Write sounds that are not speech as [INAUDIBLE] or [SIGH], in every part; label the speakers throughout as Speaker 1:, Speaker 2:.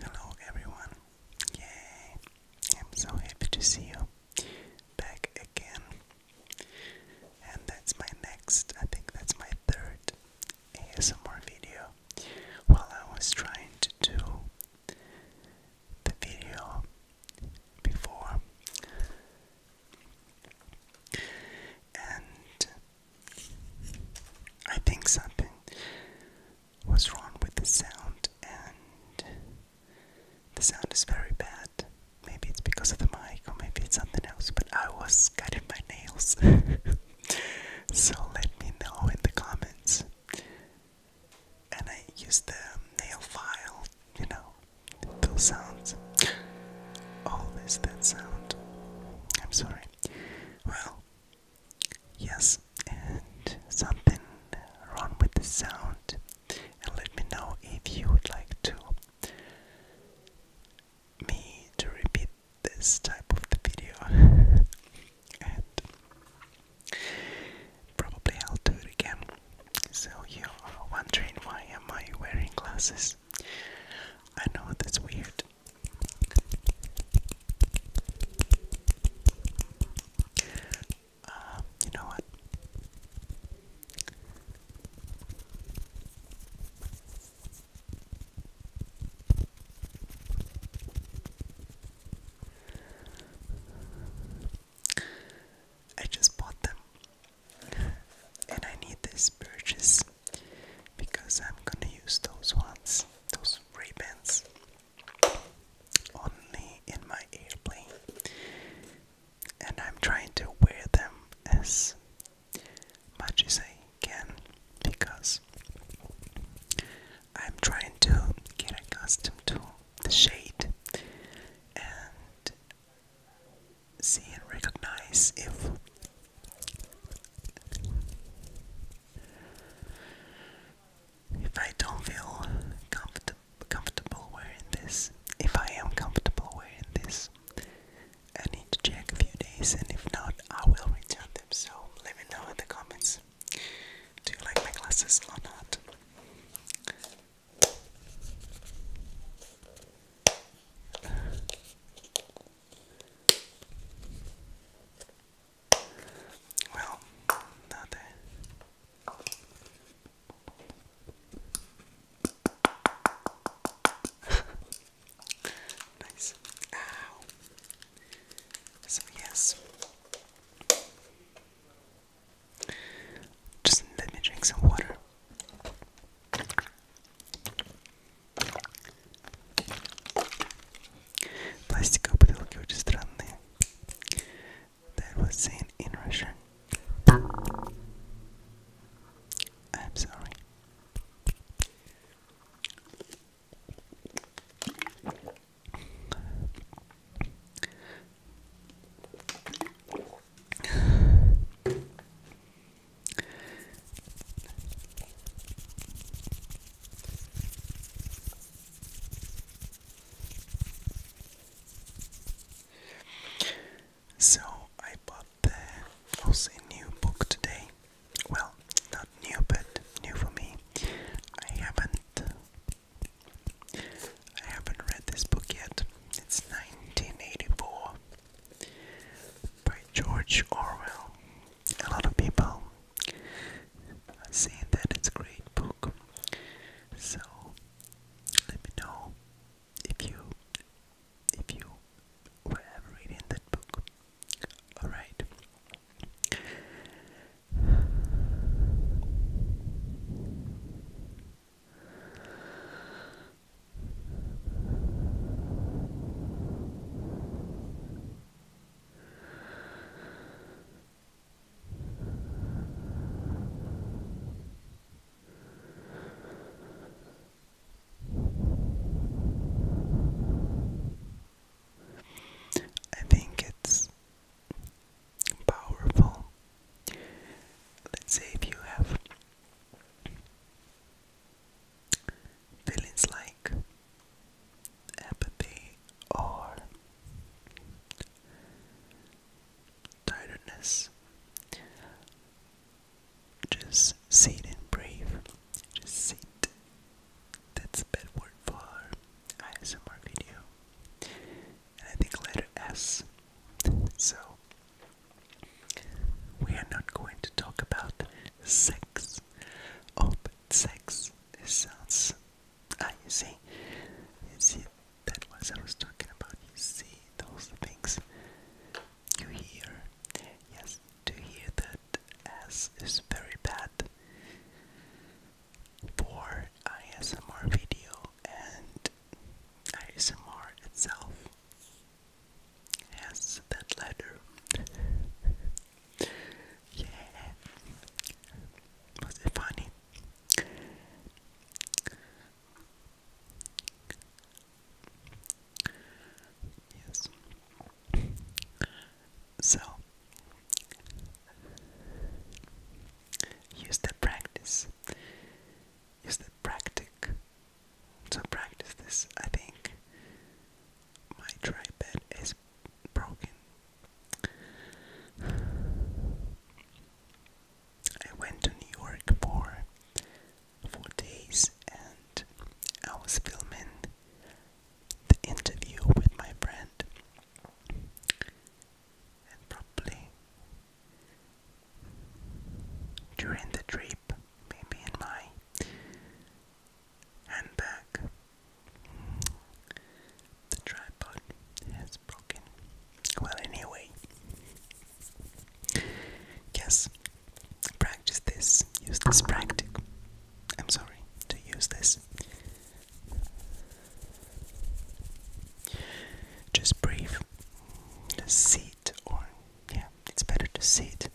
Speaker 1: Hello everyone. Yay. I'm so happy to see you back again. And that's my next, I think that's my third ASMR video. While I was trying to do the video before and I think something was wrong with the sound, and the sound is very bad. Maybe it's because of the mic, or maybe it's something else, but I was cutting my nails. [LAUGHS] so let me know in the comments. And I use the nail file, you know, those sounds. All oh, that sound. I'm sorry. Well, Yes, and something wrong with the sound. And let me know if you would like to me to repeat this type of the video. [LAUGHS] and probably I'll do it again. So you are wondering why am I wearing glasses? I know that's weird. Uh, you know what? I just bought them and I need this purchase because I'm gonna use those ones, those ribbons, only in my airplane, and I'm trying to wear them as much as I can because I'm trying to get accustomed to the shade and see and recognize if if I don't feel comfortable wearing this, if I am comfortable wearing this, I need to check a few days, and if not, I will return them. So let me know in the comments. Do you like my glasses or not? Well, not that. [LAUGHS] nice. Ow. So yes. Just let me drink some water. Пластиковые бутылки очень странные. That was seen in Russian. I'm sorry. So I bought the also a new book today. Well, not new, but new for me. I haven't I haven't read this book yet. It's 1984 by George Orwell. A lot of people are saying that it's a great book. So let me know if you if you were ever reading that book. Alright. I think it's powerful. Let's say if you have Feelings like apathy or tiredness. Just sit and breathe. Just sit. That's a bad word for ISMR video. I think letter S. So we are not going to talk about sex. Oh, but sex it sounds. Uh, ah, you see, you see, that was I was talking about. You see those things. You hear, yes, to hear that ass is very bad for ASMR video and ASMR itself. Yes, that letter. [LAUGHS] yeah. Was it funny? Yes. So use the practice. Use the practice so practice this. I think my tripod is broken. I went to New York for four days and I was filming the interview with my friend and probably during the trip, maybe in my handbag. The tripod has broken. Well, anyway, yes, practice this, use this practice. I'm sorry to use this. Just breathe, sit or yeah, it's better to sit.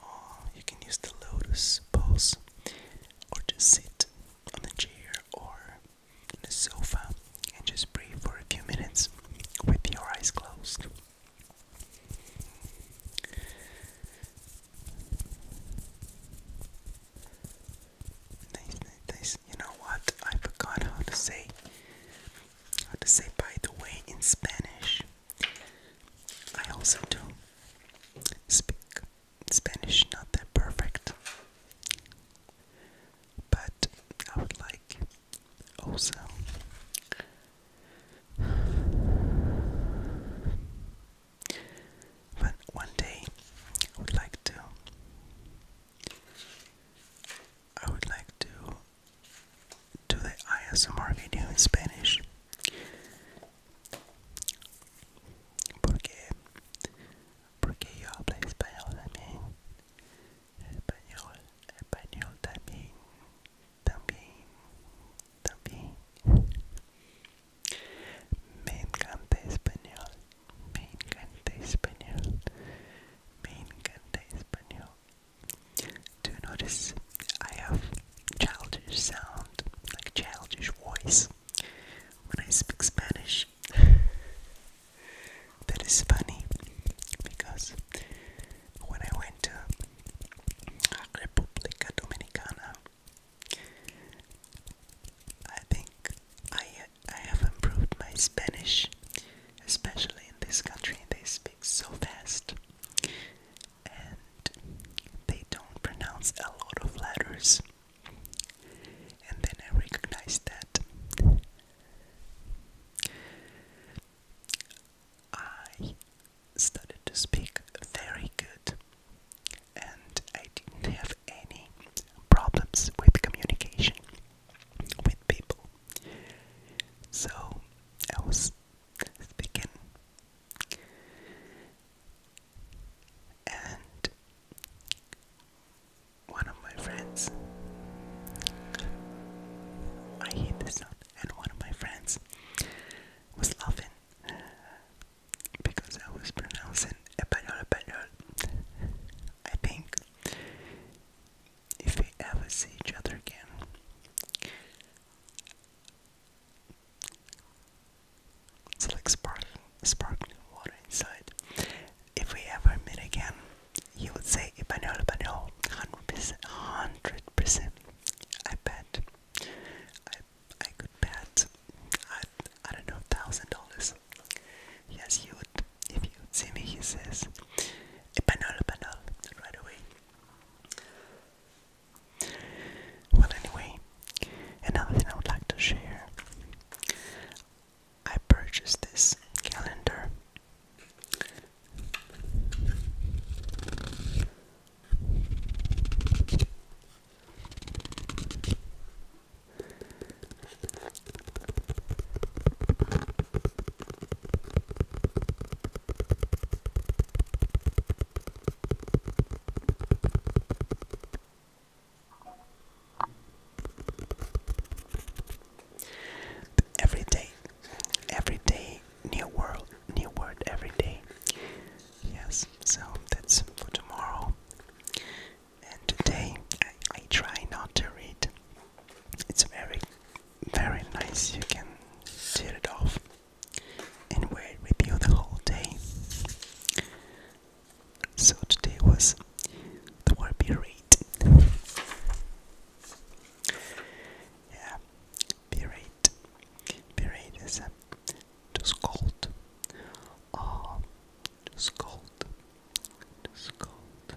Speaker 1: Or you can use the lotus pose, or just sit on a chair or on a sofa and just breathe for a few minutes with your eyes closed. Nice, nice, You know what? I forgot how to say how to say by the way in Spanish. I also do not speak Spanish, not that perfect, but I would like also when one day I would like to I would like to do the ASMR video in Spanish. Porque, porque yo hablo español también. Español, español también, también, también. Me encanta español. Me encanta español. Me encanta español. Do you notice I have childish sound, like childish voice when I speak Spanish? [LAUGHS] that is funny because when I went to República Dominicana, I think I uh, I have improved my Spanish, especially in this country. They speak so fast and they don't pronounce a lot of letters. And then I recognized that. I started to speak very good and I didn't have any problems with communication with people. So I was speaking, and one of my friends, I hate this sound, and one of my friends was laughing because I was pronouncing a petrol, petrol. I think if we ever see each other again. It's like sparkling, sparkling water inside. If we ever meet again, you would say Ipanol, Ipanol, 100%, 100%. I bet. I, I could bet, I, I don't know, $1,000. Yes, you would. If you would see me, he says, Epanol, Epanol, right away. Well, anyway, another thing I would like to share I purchased this calendar. Every day, every day, new world, new word every day. Yes, so that's for tomorrow today I, try not to read. It's very, very nice. You can tear it off and wear it the whole day. So today was the word be Yeah, berate. Berate is a to scold. Oh, to scold to scold.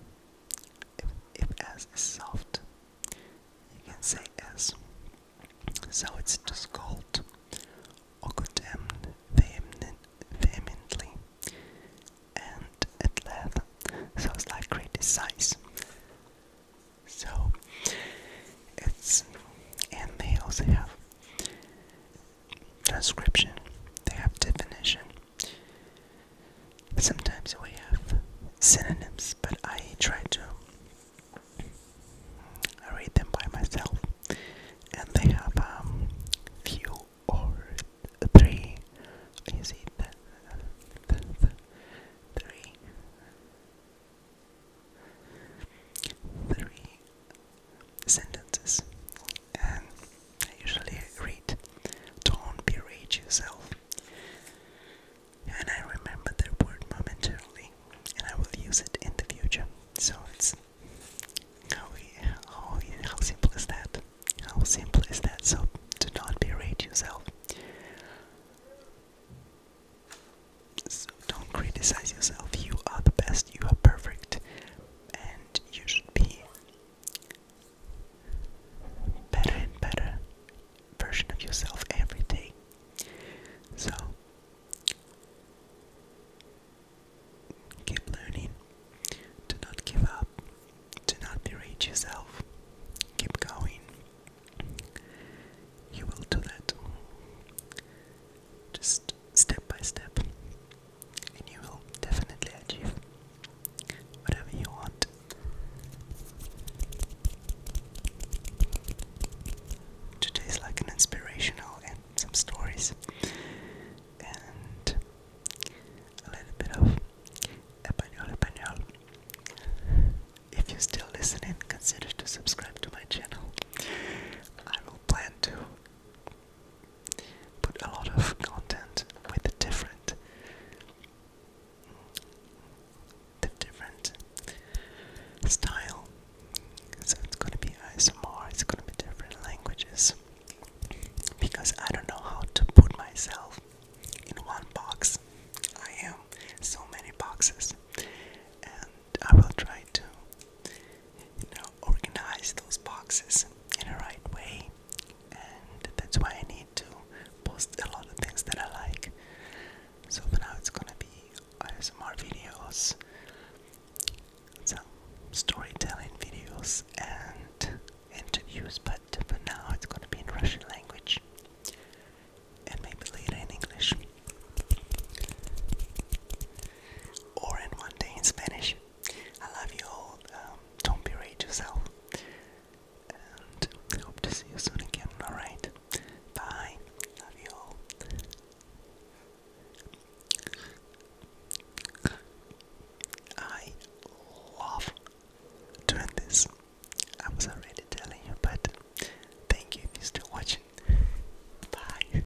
Speaker 1: If, if S is soft, you can say S. So it's just scold or condemn vehemently. And at length, so it's like criticize. So it's, and they also have description, they have definition. sometimes we have synonyms, but I try to I read them by myself. And they have a um, few or three. You see, three sentences, and I usually read Don't Berate Yourself. And I remember that word momentarily, and I will use it in the future. So it's how, how, how simple is that? How simple is that? So do not berate yourself. don't criticize yourself. You are the best. You are perfect. And you should be better and better version of yourself every day. So keep learning. Do not give up. Do not berate yourself. Keep going. You will do that. Just step by step, and you will definitely achieve whatever you want. Today is like an inspirational and some stories, and a little bit of Espanol, Espanol. If you're still listening, consider to subscribe to my channel. I will plan to put a lot of content with the different the different style. So it's gonna be ASMR, it's gonna be different languages. Because I don't know how to put myself in one box. I am so many boxes and I will try to you know, organize those boxes in the right way. And that's why I need to post a lot of things that I like. So for now, it's gonna be ASMR videos, some storytelling videos, and interviews. But for now, it's gonna be in Russian language, and maybe later in English or in one day in Spanish. I love you all. Um, don't berate yourself. And I hope to see you soon again. Alright. Bye. Love you all. I love doing this. I was already telling you, but thank you if watching. Bye.